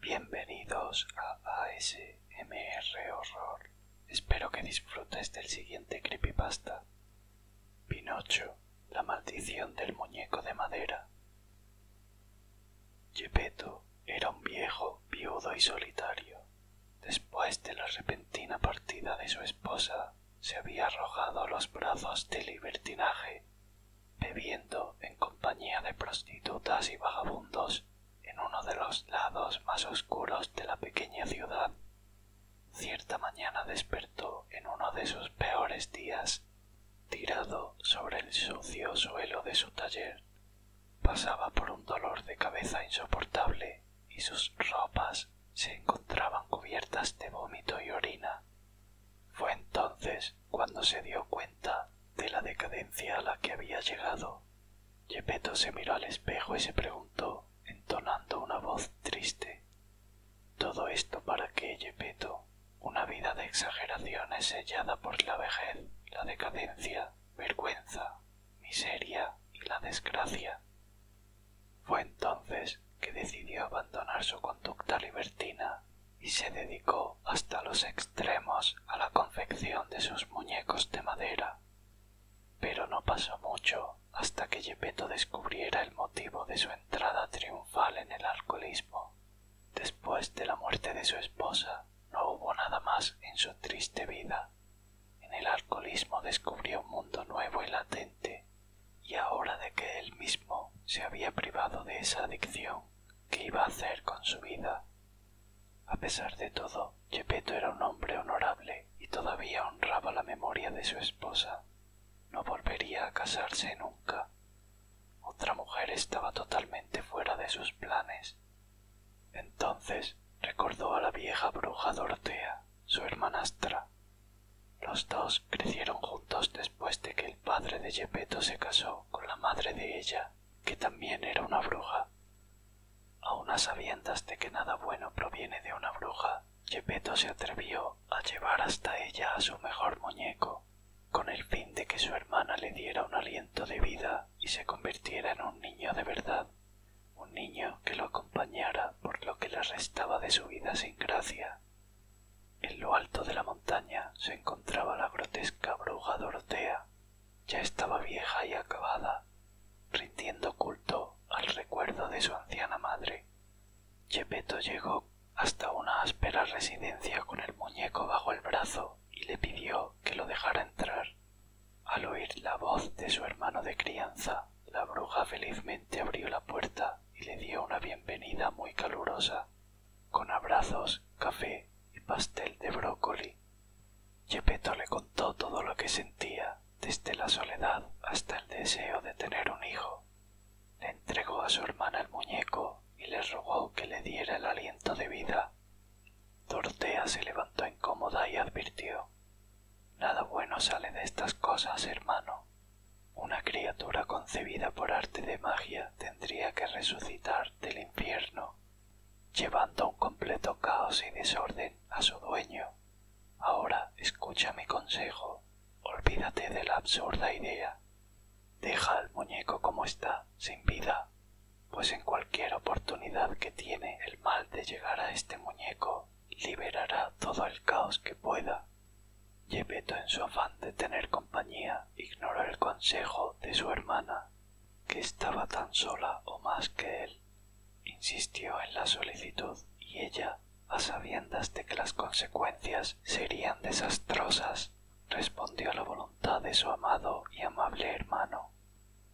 Bienvenidos a ASMR Horror. Espero que disfrutes del siguiente creepypasta. Pinocho, la maldición del muñeco de madera. Yepeto era un viejo, viudo y solitario, después de la repentina partida de su esposa, se había arrojado a los brazos del libertinaje, bebiendo en compañía de prostitutas y vagabundos en uno de los lados más oscuros de la pequeña ciudad. Cierta mañana despertó en uno de sus peores días, tirado sobre el sucio suelo de su taller. Pasaba por un dolor de cabeza insoportable y sus ropas se encontraban cubiertas de vómito y orina. Fue entonces cuando se dio cuenta de la decadencia a la que había llegado. Yepeto se miró al espejo y se preguntó, entonando una voz triste. ¿Todo esto para qué, Yepeto? Una vida de exageraciones sellada por la vejez, la decadencia, vergüenza, miseria y la desgracia. Fue entonces que decidió abandonar su conducta libertina y se dedicó hasta los extremos a la confección de sus muñecos de madera. Pero no pasó mucho hasta que Gepetto descubriera el motivo de su entrada triunfal en el alcoholismo. Después de la muerte de su esposa, no hubo nada más en su triste vida en el alcoholismo descubrió un mundo nuevo y latente, y ahora de que él mismo se había privado de esa adicción, ¿qué iba a hacer con su vida? A pesar de todo, Gepetto era un hombre honorable y todavía honraba la memoria de su esposa. No volvería a casarse nunca. Otra mujer estaba totalmente fuera de sus planes entonces recordó a la vieja bruja Dorotea, su hermanastra. Los dos crecieron juntos después de que el padre de geppetto se casó con la madre de ella, que también era una bruja. A unas sabiendas de que nada bueno proviene de una bruja, geppetto se atrevió a llevar hasta ella a su mejor muñeco, con el fin de que su hermana le diera un aliento de vida y se convirtiera en un niño de verdad, un niño que lo acompañara por lo que le restaba de su vida sin gracia. En lo alto de la montaña se encontraba la grotesca bruja Dorotea. Ya estaba vieja y acabada, rindiendo culto al recuerdo de su anciana madre. Chepeto llegó hasta una áspera residencia con el muñeco bajo el brazo y le pidió que lo dejara entrar. Al oír la voz de su hermano de crianza, la bruja felizmente abrió la puerta y le dio una bienvenida muy calurosa, con abrazos, café y pastel de brócoli. Geppetto le contó todo lo que sentía, desde la soledad hasta el deseo de tener un hijo. Le entregó a su hermana el muñeco y le rogó que le diera el aliento de vida Dorotea se levantó incómoda y advirtió Nada bueno sale de estas cosas, hermano. Una criatura concebida por arte de magia tendría que resucitar del infierno, llevando un completo caos y desorden a su dueño. Ahora escucha mi consejo. Olvídate de la absurda idea. Deja al muñeco como está, sin vida, pues en cualquier oportunidad que tiene el mal de llegar a este muñeco, liberará todo el caos que pueda. Yepeto en su afán de tener compañía ignoró el consejo de su hermana, que estaba tan sola o más que él. Insistió en la solicitud y ella, a sabiendas de que las consecuencias serían desastrosas, respondió a la voluntad de su amado y amable hermano,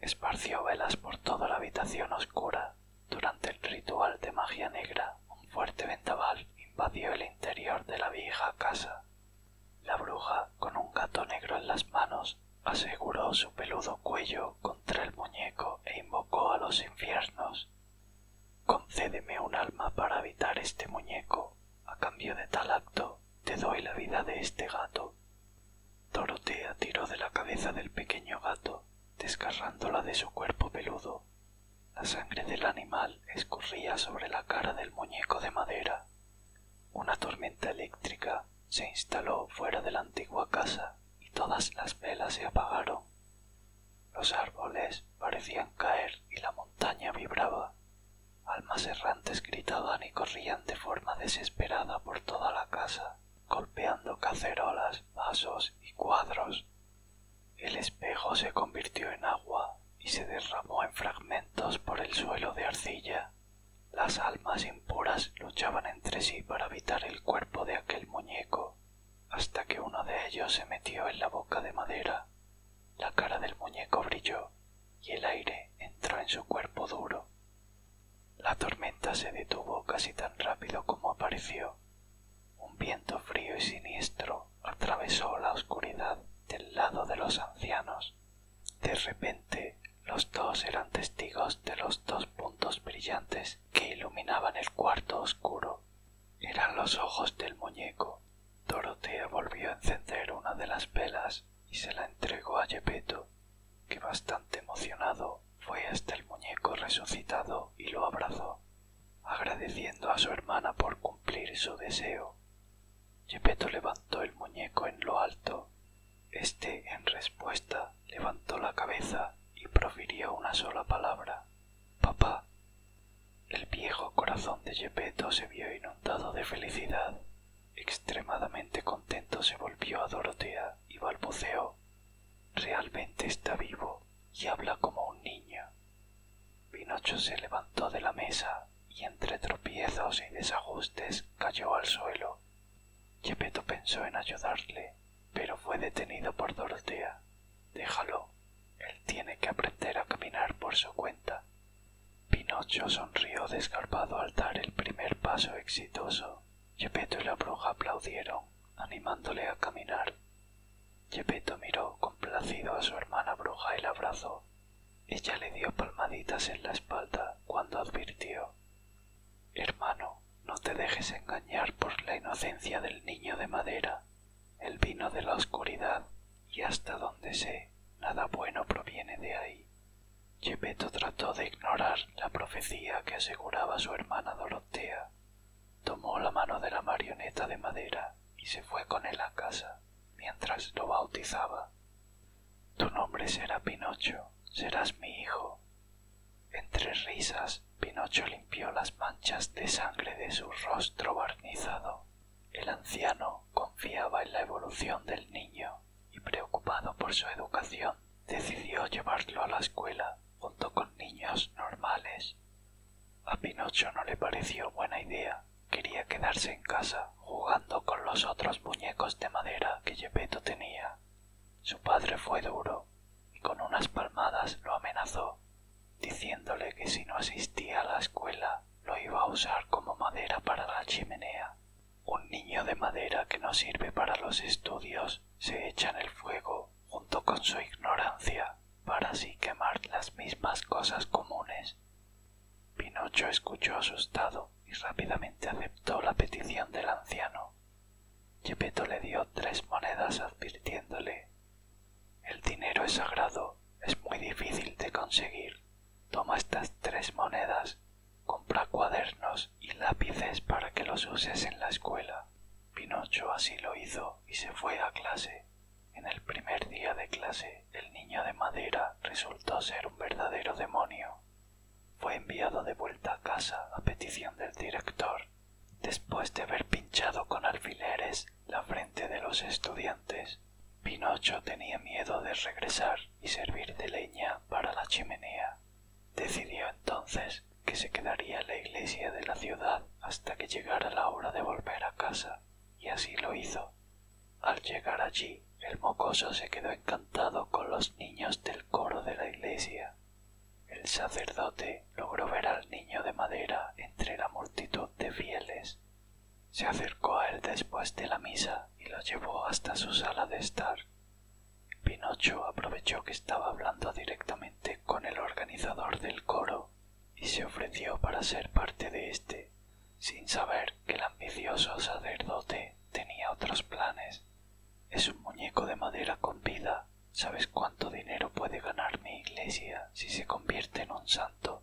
Esparció velas por toda la habitación oscura. Durante el ritual de magia negra, un fuerte vendaval invadió el interior de la vieja casa. La bruja, con un gato negro en las manos, aseguró su peludo cuello contra el muñeco e invocó a los infiernos. Concédeme un alma para habitar este muñeco. A cambio de tal acto, te doy la vida de este gato. Dorotea tiró de la cabeza del pequeño gato, desgarrándola de su cuerpo peludo. La sangre del animal escurría sobre la cara del muñeco de madera. Una tormenta eléctrica se instaló fuera de la antigua casa y todas las velas se apagaron. Los árboles parecían caer y la montaña vibraba. Almas errantes gritaban y corrían de forma desesperada por toda la casa, golpeando cacerolas, vasos y cuadros. El espejo se convirtió en agua y se derramó en fragmentos por el suelo de arcilla. Las almas impuras luchaban entre sí para habitar el cuerpo de aquel muñeco, hasta que uno de ellos se metió en la boca de madera. La cara del muñeco brilló y el aire entró en su cuerpo duro. La tormenta se detuvo casi tan rápido como apareció. Un viento frío y siniestro atravesó la oscuridad del lado de los ancianos. De repente, los dos eran testigos de los dos puntos brillantes que iluminaban el cuarto oscuro. Eran los ojos del muñeco. Dorotea volvió a encender una de las velas y se la entregó a Yepeto, que bastante emocionado fue hasta el muñeco resucitado y lo abrazó, agradeciendo a su hermana por cumplir su deseo. Yepeto levantó el muñeco en lo alto. éste en respuesta, levantó la cabeza y profirió una sola palabra: Papá. El viejo corazón de Yepeto se vio inundado de felicidad Extremadamente contento se volvió a Dorotea y balbuceó. Realmente está vivo y habla como un niño. Pinocho se levantó de la mesa y entre tropiezos y desajustes cayó al suelo. geppetto pensó en ayudarle, pero fue detenido por Dorotea. Déjalo. Él tiene que aprender a caminar por su cuenta. Pinocho sonrió desgarbado al dar el primer paso exitoso. geppetto y la bruja aplaudieron, animándole a caminar. geppetto miró complacido a su hermana bruja y la abrazó. Ella le dio palmaditas en la espalda cuando advirtió Hermano, no te dejes engañar por la inocencia del niño de madera. el vino de la oscuridad y hasta donde sé, nada bueno proviene de ahí. geppetto trató de ignorar la profecía que aseguraba su hermana Dorotea. Tomó la mano de la marioneta de madera y se fue con él a casa, mientras lo bautizaba. Tu nombre será Pinocho, serás mi hijo. Entre risas, Pinocho limpió las manchas de sangre de su rostro barnizado el anciano confiaba en la evolución del niño y preocupado por su educación, decidió llevarlo a la escuela junto con niños normales. A Pinocho no le pareció buena idea. Quería quedarse en casa jugando con los otros muñecos de madera que geppetto tenía. Su padre fue duro y con unas palmadas lo amenazó, diciéndole que si no asistía a la escuela lo iba a usar como madera para la chimenea. Un niño de madera que no sirve para los estudios se echa en el fuego junto con su ignorancia para así quemar las mismas cosas comunes. Pinocho escuchó asustado y rápidamente aceptó la petición del anciano. geppetto le dio tres monedas advirtiéndole El dinero es sagrado, es muy difícil de conseguir Toma estas tres monedas, compra cuadernos y lápices para que los uses en la escuela. Pinocho así lo hizo y se fue a clase. En el primer día de clase, el niño de madera resultó ser un verdadero demonio. Fue enviado de vuelta a casa a petición del director, después de haber pinchado con alfileres la frente de los estudiantes. Pinocho tenía miedo de regresar y servir de leña para la chimenea. Decidió entonces que se quedaría en la iglesia de la ciudad hasta que llegara la hora de volver a casa, y así lo hizo. Al llegar allí, el mocoso se quedó encantado con los niños del coro de la iglesia. El sacerdote logró ver al niño de madera entre la multitud de fieles se acercó a él después de la misa y lo llevó hasta su sala de estar. Pinocho aprovechó que estaba hablando directamente con el organizador del coro y se ofreció para ser parte de éste, sin saber que el ambicioso sacerdote tenía otros planes. Es un muñeco de madera con vida. ¿Sabes cuánto dinero puede ganar mi iglesia si se convierte en un santo?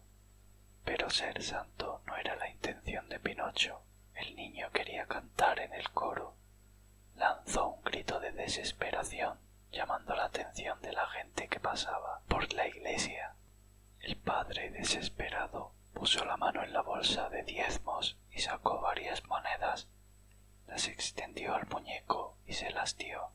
Pero ser santo no era la intención de Pinocho. El niño quería cantar en el coro. Lanzó un grito de desesperación, llamando la atención de la gente que pasaba por la iglesia. El padre, desesperado, puso la mano en la bolsa de diezmos y sacó varias monedas. Las extendió al muñeco y se las dio.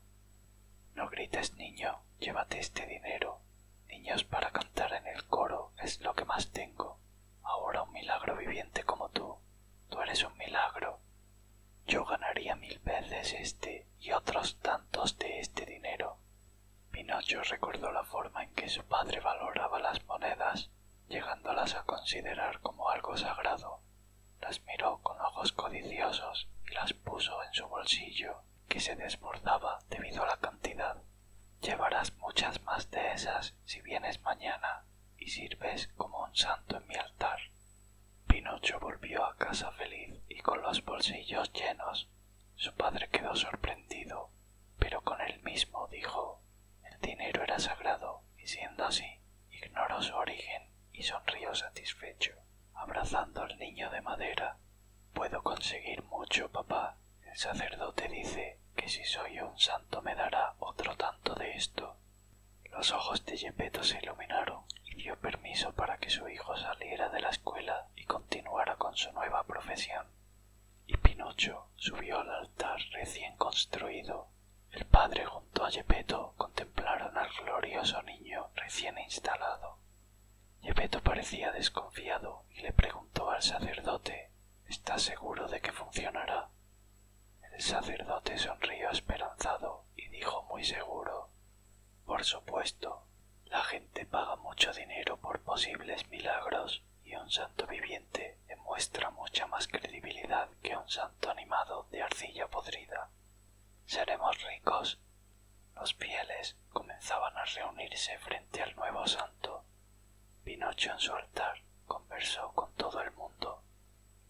No grites, niño, llévate este dinero. Niños para cantar en el coro es lo que más tengo. Ahora un milagro viviente como tú. Tú eres un milagro. Yo ganaría mil veces este y otros tantos de este dinero. Pinocho recordó la forma en que su padre valoraba las monedas, llegándolas a considerar como algo sagrado. Las miró con ojos codiciosos y las puso en su bolsillo que se desbordaba debido a la cantidad. Llevarás muchas más de esas si vienes mañana y sirves como un santo en mi altar. Pinocho volvió a casa feliz y con los bolsillos llenos. Su padre quedó sorprendido, pero con él mismo dijo el dinero era sagrado, y siendo así, ignoró su origen y sonrió satisfecho abrazando al niño de madera. Puedo conseguir mucho, papá. El sacerdote dice que si soy un santo me dará otro tanto de esto. Los ojos de Yepeto se iluminaron y dio permiso para que su hijo saliera de la escuela y continuara con su nueva profesión. Y Pinocho subió al altar recién construido. El padre junto a Yepeto contemplaron al glorioso niño recién instalado. Yepeto parecía desconfiado y le preguntó al sacerdote ¿Estás seguro de que funcionará? El sacerdote sonrió esperanzado y dijo muy seguro Por supuesto, la gente paga mucho dinero por posibles milagros y un santo viviente demuestra mucha más credibilidad que un santo animado de arcilla podrida. Seremos ricos los fieles comenzaban a reunirse frente al nuevo santo. Pinocho en su altar conversó con todo el mundo,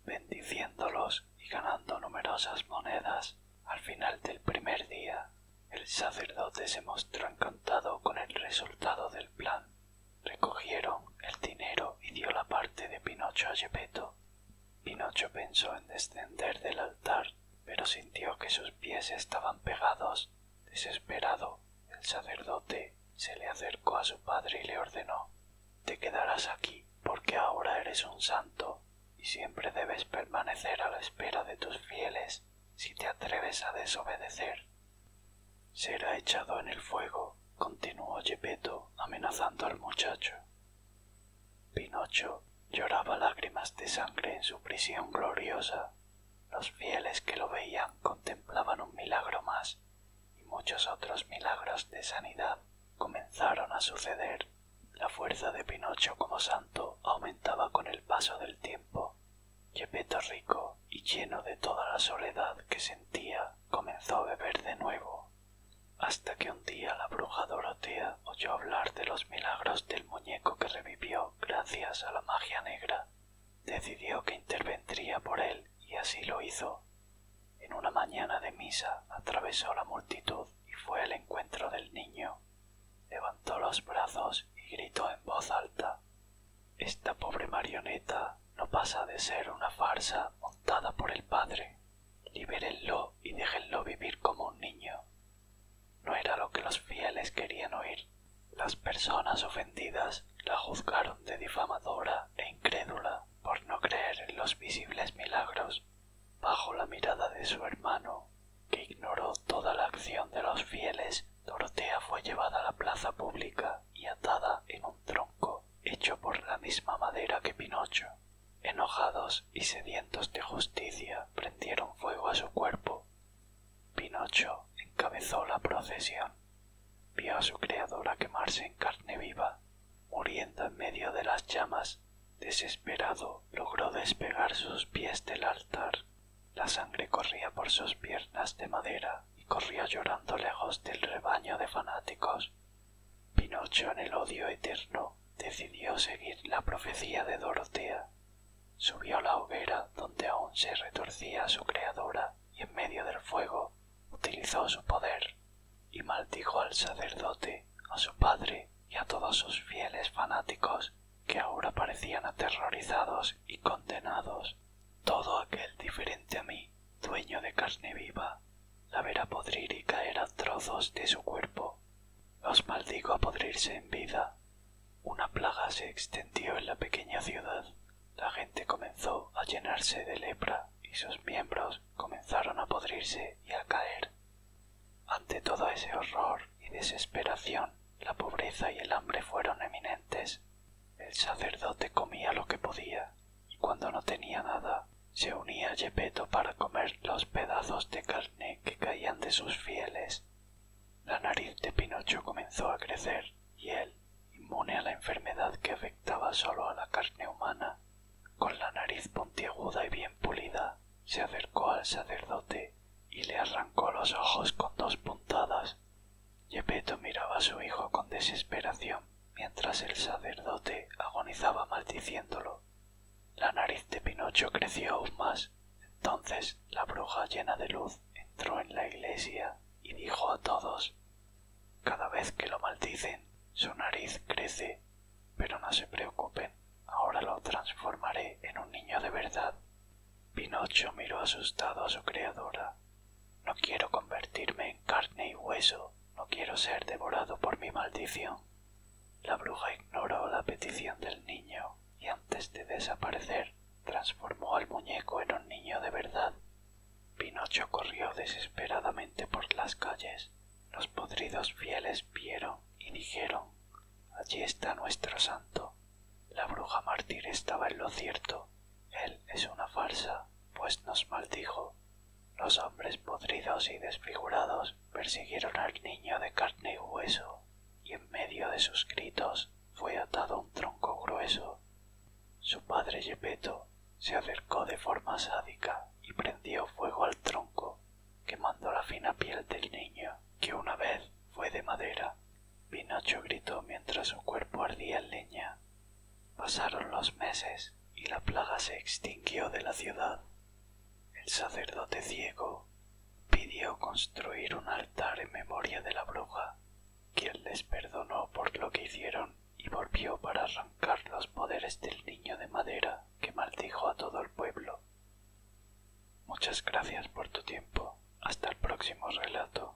bendiciéndolos y ganando numerosas monedas. Al final del primer día, el sacerdote se mostró encantado con el resultado del plan. Recogieron el dinero y dio la parte de Pinocho a Pinocho pensó en descender del altar, pero sintió que sus pies estaban pegados. Desesperado, el sacerdote se le acercó a su padre y le ordenó Te quedarás aquí, porque ahora eres un santo, y siempre debes permanecer a la espera de tus fieles si te atreves a desobedecer. Será echado en el fuego, continuó Gepetto amenazando al muchacho. Pinocho lloraba lágrimas de sangre en su prisión gloriosa. Los fieles que lo veían contemplaban un milagro más y muchos otros milagros de sanidad comenzaron a suceder. La fuerza de Pinocho como santo aumentaba con el paso del tiempo. Gepetto rico y lleno de toda la soledad que sentía, comenzó a beber de nuevo hasta que un día la bruja Dorotea oyó hablar de los milagros del muñeco que revivió gracias a la magia negra. Decidió que intervendría por él y así lo hizo. En una mañana de misa atravesó la multitud y fue al encuentro del niño. Levantó los brazos y gritó en voz alta Esta pobre marioneta no pasa de ser una farsa montada por el padre. Libérenlo y déjenlo vivir como un niño. No era lo que los fieles querían oír. Las personas ofendidas la juzgaron de difamadora e incrédula por no creer en los visibles milagros. Bajo la mirada de su hermano, que ignoró toda la acción de los fieles, Dorotea fue llevada a la plaza pública y atada en un tronco hecho por la misma madera que Pinocho enojados y sedientos de justicia, prendieron fuego a su cuerpo. Pinocho encabezó la procesión. Vio a su creadora quemarse en carne viva, muriendo en medio de las llamas. Desesperado, logró despegar sus pies del altar. La sangre corría por sus piernas de madera y corría llorando lejos del rebaño de fanáticos. Pinocho, en el odio eterno, decidió seguir la profecía de Dorotea. Subió a la hoguera donde aún se retorcía su creadora y en medio del fuego utilizó su poder y maldijo al sacerdote, a su padre y a todos sus fieles fanáticos que ahora parecían aterrorizados y condenados. Todo aquel diferente a mí dueño de carne viva, la verá podrir y caer a trozos de su cuerpo. Los maldigo a podrirse en vida. Una plaga se extendió en la pequeña ciudad. La gente comenzó a llenarse de lepra y sus miembros comenzaron a podrirse y a caer. Ante todo ese horror y desesperación, la pobreza y el hambre fueron eminentes. El sacerdote comía lo que podía cuando no tenía nada, se unía a Gepetto para comer los pedazos de carne que caían de sus fieles. La nariz de Pinocho comenzó a crecer y él, inmune a la enfermedad que afectaba solo a la carne humana, con la nariz puntiaguda y bien pulida, se acercó al sacerdote y le arrancó los ojos con dos puntadas. Gepetto miraba a su hijo con desesperación mientras el sacerdote agonizaba maldiciéndolo. La nariz de Pinocho creció aún más. Entonces la bruja llena de luz entró en la iglesia y dijo a todos Cada vez que lo maldicen, su nariz crece, pero no se preocupen, ahora lo transformaré en un niño de verdad. Pinocho miró asustado a su creadora, no quiero convertirme en carne y hueso, no quiero ser devorado por mi maldición. La bruja ignoró la petición del niño y antes de desaparecer transformó al muñeco en un niño de verdad. Pinocho corrió desesperadamente por las calles. Los podridos fieles vieron y dijeron Allí está nuestro santo. La bruja mártir estaba en lo cierto. Él es una farsa, pues nos maldijo. Los hombres podridos y desfigurados persiguieron al niño de carne y hueso, y en medio de sus gritos fue atado un tronco grueso. Su padre Yepeto se acercó de forma sádica y prendió fuego al tronco, quemando la fina piel del niño, que una vez fue de madera. Pinocho gritó mientras su cuerpo ardía en leña Pasaron los meses y la plaga se extinguió de la ciudad. El sacerdote ciego pidió construir un altar en memoria de la bruja, quien les perdonó por lo que hicieron y volvió para arrancar los poderes del niño de madera que maldijo a todo el pueblo. Muchas gracias por tu tiempo. Hasta el próximo relato.